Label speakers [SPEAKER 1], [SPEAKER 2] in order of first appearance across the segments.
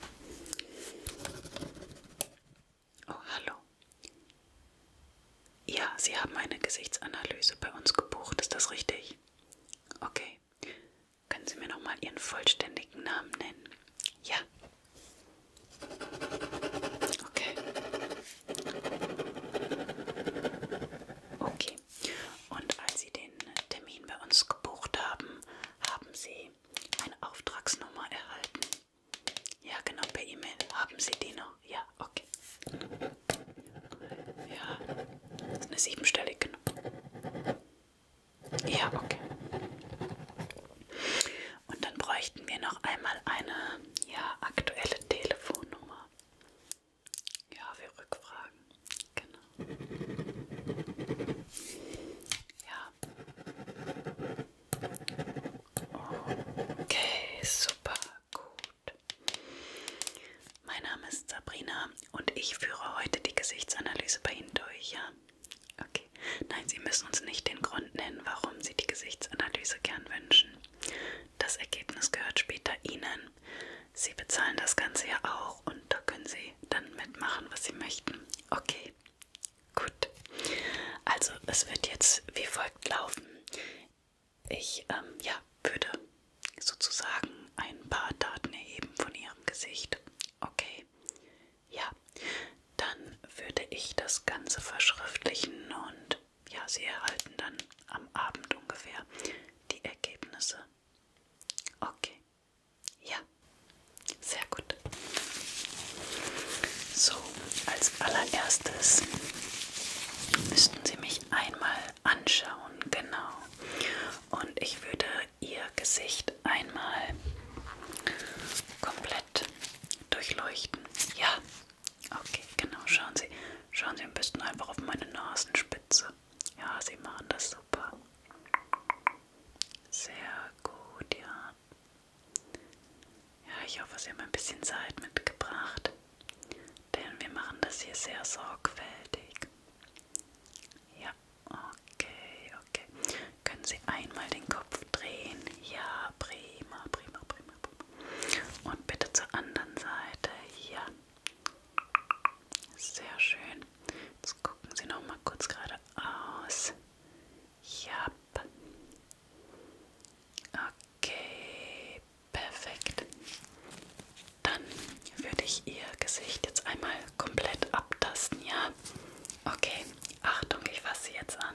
[SPEAKER 1] Oh, hallo. Ja, Sie haben eine Gesichtsanalyse bei uns gebucht, ist das richtig? Okay. Können Sie mir nochmal Ihren vollständigen Namen nennen? Ja. Okay. Okay. Und als Sie den Termin bei uns gebucht haben, haben Sie eine Auftragsnummer erhalten? Ja, genau, per E-Mail. Haben Sie die noch? Ja, okay. Ja, das ist eine siebenstellige Nummer. Ja, okay. Und dann bräuchten wir noch einmal eine ja, aktuelle Telefonnummer. Ja, wir rückfragen. Genau. Ja, Okay, super gut. Mein Name ist Sabrina und ich führe heute die Gesichtsanalyse bei Ihnen durch, ja? Okay. Nein, Sie müssen uns nicht den Grund nennen, warum Sie die Gesichtsanalyse gern wünschen. Das Ergebnis gehört später Ihnen. Sie bezahlen das Ganze ja auch auch und da können Sie dann mitmachen, was Sie möchten. Okay, gut. Also es wird jetzt wie folgt laufen. Ich ähm, ja, würde sozusagen ein paar Daten erheben von Ihrem Gesicht. Okay, ja. Dann würde ich das Ganze verschriftlichen und ja, Sie erhalten dann am Abend ungefähr die Ergebnisse. Okay, ja, sehr gut. So, als allererstes müssten Sie mich einmal anschauen, genau. Und ich würde Ihr Gesicht einmal komplett durchleuchten. Ja, okay, genau. Schauen Sie, schauen Sie am besten einfach auf meine Nasenspitze. Ja, Sie machen das super. Sehr gut, ja. Ja, ich hoffe, Sie haben ein bisschen Zeit mitgebracht, denn wir machen das hier sehr sorgfältig. Ja, okay, okay. Können Sie einmal den Kopf drehen? Ja, prima, prima, prima, prima. Und bitte zur anderen Seite. Ja. Sehr schön. Jetzt gucken Sie noch mal kurz geradeaus. Ja. Okay, perfekt. Dann würde ich Ihr Gesicht jetzt einmal komplett abtasten, ja? Okay, Achtung, ich fasse Sie jetzt an.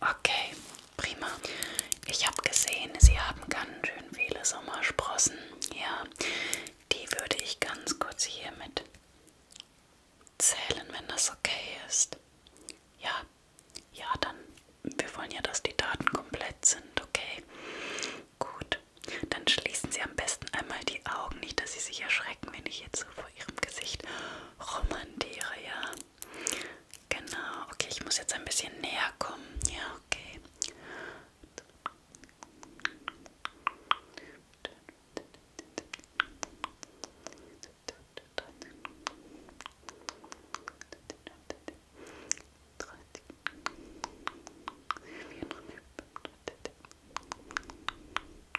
[SPEAKER 1] Okay, prima. Ich habe gesehen, Sie haben ganz schön viele Sommersprossen. Ja, die würde ich ganz kurz hier mit zählen, wenn das okay ist. Ja, ja, dann. Wir wollen ja, dass die Daten komplett sind, okay? Gut. Dann schließen Sie am besten einmal die Augen, nicht, dass Sie sich erschrecken, wenn ich jetzt so vor Ihrem Gesicht romantiere, ja. Genau, okay, ich muss jetzt ein bisschen näher kommen. Ja, okay. Okay,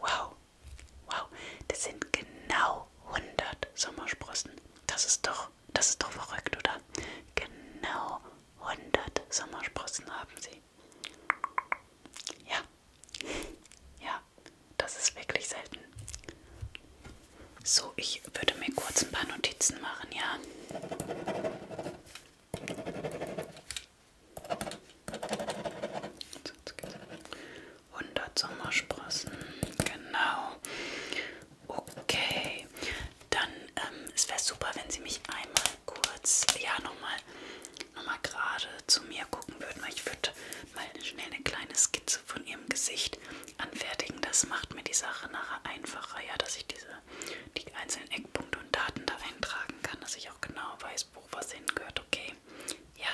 [SPEAKER 1] Wow, wow, das sind genau 100 Sommersprossen. Das ist doch, das ist doch verrückt, oder? Genau 100 Sommersprossen haben sie. Ja, ja, das ist wirklich selten. So, ich würde mir kurz ein paar Notizen machen, ja. Sonst geht's. 100 Sommersprossen, genau. Okay, dann ähm, es wäre super, wenn Sie mich einmal kurz, ja nochmal noch mal gerade zu mir gucken würden, weil ich würde mal schnell eine kleine Skizze von Ihrem Gesicht anfertigen. Das macht mir die Sache nachher einfacher, ja, dass ich diese die einzelnen Eckpunkte und Daten da eintragen kann, dass ich auch genau weiß, wo was hingehört, okay? Ja,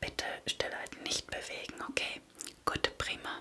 [SPEAKER 1] bitte Stille halt nicht bewegen, okay? Gut, prima.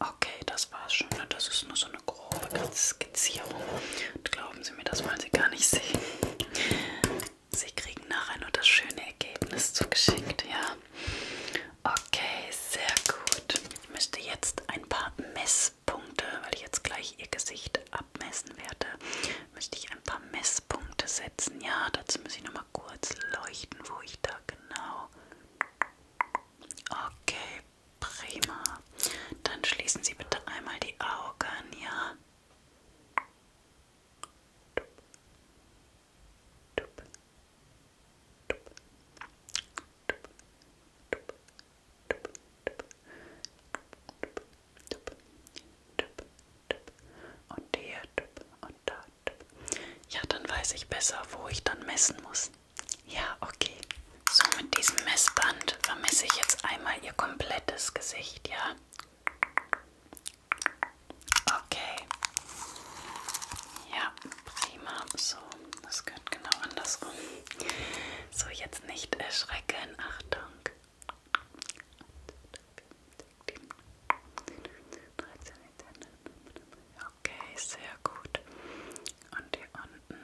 [SPEAKER 1] Okay, das war's schon. Ne? Das ist nur so eine grobe Skizierung. Und glauben Sie mir, das wollen Sie gar nicht sehen. Sie kriegen nachher nur das schöne Ergebnis zugeschickt, ja? Okay, sehr gut. Ich müsste jetzt ein paar Messpunkte, weil ich jetzt gleich Ihr Gesicht abmessen werde, müsste ich ein paar Messpunkte setzen. Ja, dazu muss ich nochmal kurz leuchten, wo ich da genau Okay, prima. Dann schließen Sie bitte einmal die Augen, ja? Und hier und da. Ja, dann weiß ich besser, wo ich dann messen muss. Ja, okay. So, mit diesem Messband vermisse ich jetzt einmal ihr komplettes Gesicht, ja? Okay. Ja, prima. So, das gehört genau andersrum. So, jetzt nicht erschrecken. Achtung. Okay, sehr gut. Und hier unten.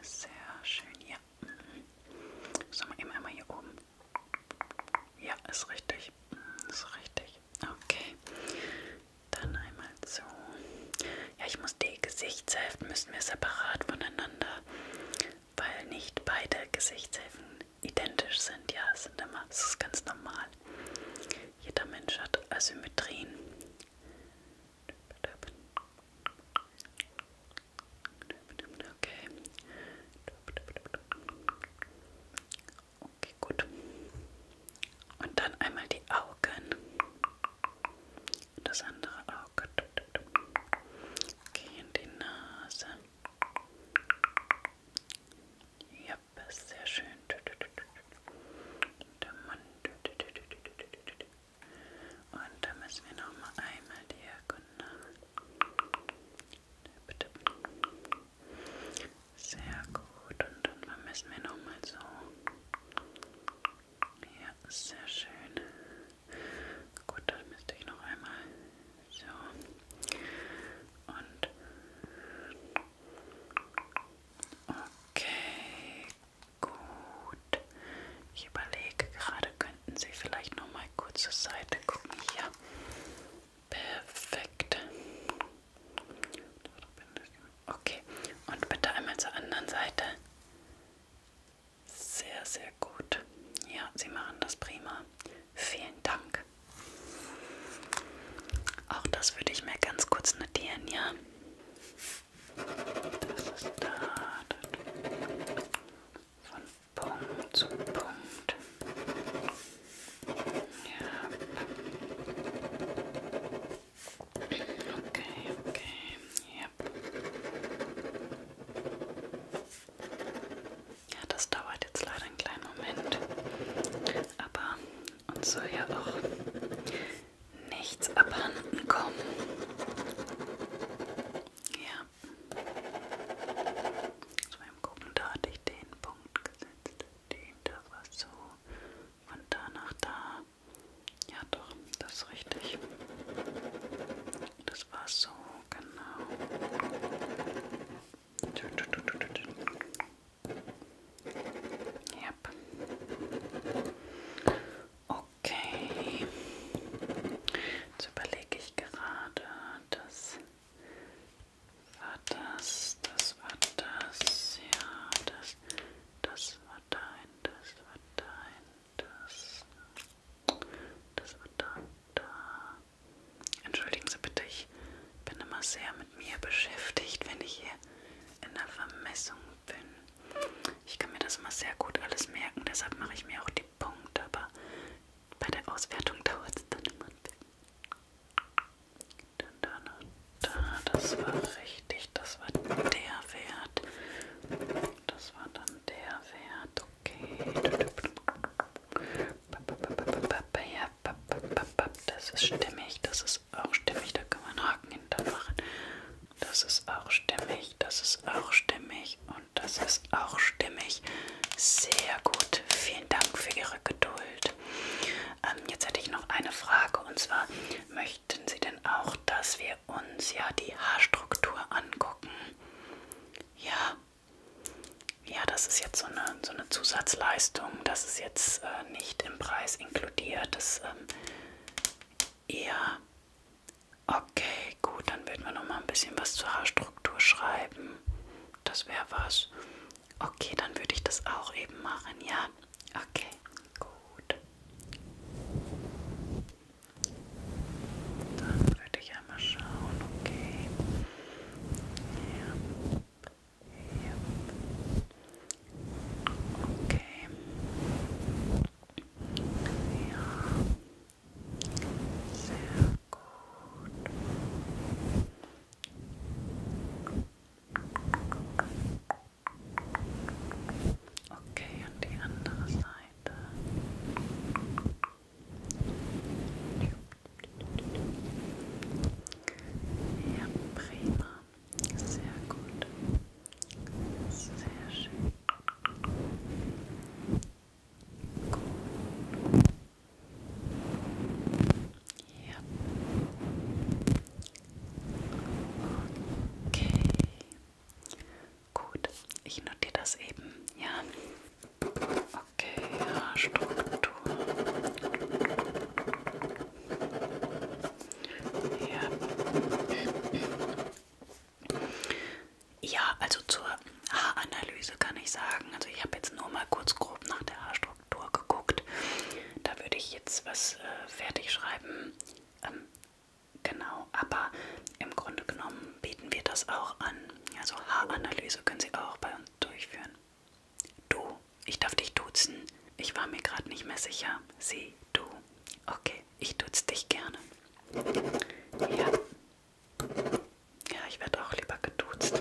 [SPEAKER 1] Sehr schön, ja. So, mal eben einmal hier oben. Ja, ist richtig. Ist richtig. Okay. Dann einmal so. Ja, ich muss die Gesichtshälften müssen wir separat voneinander weil nicht beide Gesichtshälften identisch sind. Ja, es sind immer, es ist ganz normal. Jeder Mensch hat Asymmetrien. Okay. Okay, gut. Und dann einmal die Augen. Das andere Auge. Okay, und die Nase. Ja, sehr schön. Der Mund. Und da müssen wir nochmal einmal diagonal. Bitte. Sehr gut. Und dann müssen wir nochmal so. Ja, sehr schön. Gut, das müsste ich noch einmal. So. Und. Okay. Gut. Ich überlege gerade, könnten Sie vielleicht noch mal kurz zur Seite gucken. Hier. Perfekt. Okay. Und bitte einmal zur anderen Seite. Sehr, sehr gut. Ja, Sie machen das prima. Vielen Dank. Auch das würde ich mir ganz kurz notieren, ja. Das ist da. Von Punkt zu Punkt. Ja. Okay, okay. Ja. Ja, das dauert jetzt leider einen kleinen Moment. Aber uns soll ja auch nichts abhanden kommen. Ja. So, beim Gucken, da hatte ich den Punkt gesetzt. Den, da war so. Von da nach da. Ja, doch, das ist richtig. Das war so, genau. Yep. Okay. Jetzt überlege ich gerade, das war das, das war das, ja, das, das war dein, das war dein das, das wird da, da. Entschuldigen Sie bitte, ich bin immer sehr mit mir beschäftigt, wenn ich hier in der Vermessung bin. Ich kann mir das immer sehr gut alles merken, deshalb mache ich mir auch die Punkte, aber bei der Auswertung dauert es dann immer ein bisschen. Dann da, da, das war richtig, das war der Wert das war dann der Wert. Okay. Das ist stimmig, das ist auch stimmig, da kann man Haken hintermachen. Das ist auch stimmig, das ist auch stimmig und das ist auch stimmig. Sehr gut, vielen Dank für Ihre Geduld. Ähm, jetzt hätte ich noch eine Frage und zwar, möchten Sie denn auch, dass wir uns ja die Haarstruktur angucken? gucken. Ja. Ja, das ist jetzt so eine, so eine Zusatzleistung. Das ist jetzt äh, nicht im Preis inkludiert. Das ähm, eher. Okay, gut, dann würden wir noch mal ein bisschen was zur Haarstruktur schreiben. Das wäre was. Okay, dann würde ich das auch eben machen, ja? Okay, gut. Dann würde ich einmal schauen, okay. Ja. Ja. Okay. Ja. Sehr gut. Okay, und die andere Seite. Seite. Ja, prima. Sehr gut. Sehr schön. Gut. Ja. Okay. Gut, ich notiere das eben, ja. Okay, ja, Struktur. Ja. ja, also zur Haaranalyse kann ich sagen, also ich habe jetzt nur mal kurz grob nach der Haarstruktur geguckt. Da würde ich jetzt was äh, fertig schreiben. Ähm, Genau, aber im Grunde genommen bieten wir das auch an. Also Haaranalyse können Sie auch bei uns durchführen. Du, ich darf dich duzen. Ich war mir gerade nicht mehr sicher. Sie, du. Okay, ich duze dich gerne. Ja. Ja, ich werde auch lieber geduzt.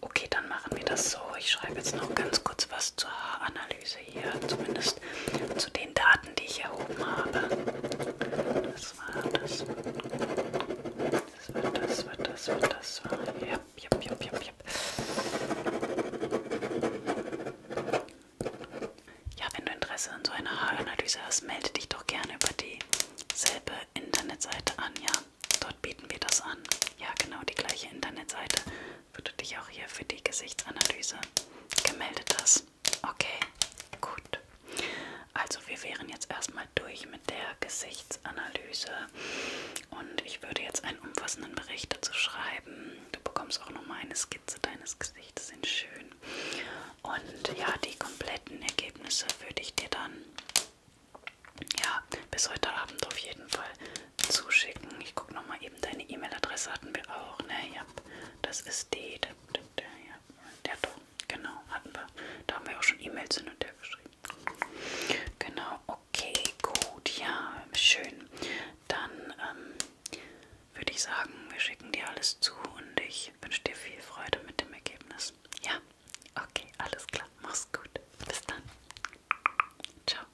[SPEAKER 1] Okay, dann machen wir das so. Ich schreibe jetzt noch ganz kurz was zur Haaranalyse. Analyse hier, zumindest zu den Daten, die ich erhoben habe. Das war das. Das war das, war das, war das, war. Ja, ja, ja, ja, ja. Ja, wenn du Interesse an so einer Haaranalyse hast, melde dich doch gerne über dieselbe Internetseite an, ja. Dort bieten wir das an. Ja, genau die gleiche Internetseite wo du dich auch hier für die Gesichtsanalyse gemeldet hast. Okay, gut. Also wir wären jetzt erstmal durch mit der Gesichtsanalyse und ich würde jetzt einen umfassenden Bericht dazu schreiben. Du bekommst auch nochmal eine Skizze deines Gesichtes in schön. Und ja, die kompletten Ergebnisse würde ich dir dann ja bis heute Abend auf jeden Fall zuschicken. Ich gucke nochmal eben, deine E-Mail-Adresse hatten wir auch, ne? Ja, das ist die, der, der, ja, der doch, genau, hatten wir. Da haben wir auch schon E-Mails hin und her geschrieben. Genau, okay, gut, ja, schön. Dann ähm, würde ich sagen, wir schicken dir alles zu und ich wünsche dir viel Freude mit dem Ergebnis. Ja, okay, alles klar, mach's gut. Bis dann. Ciao.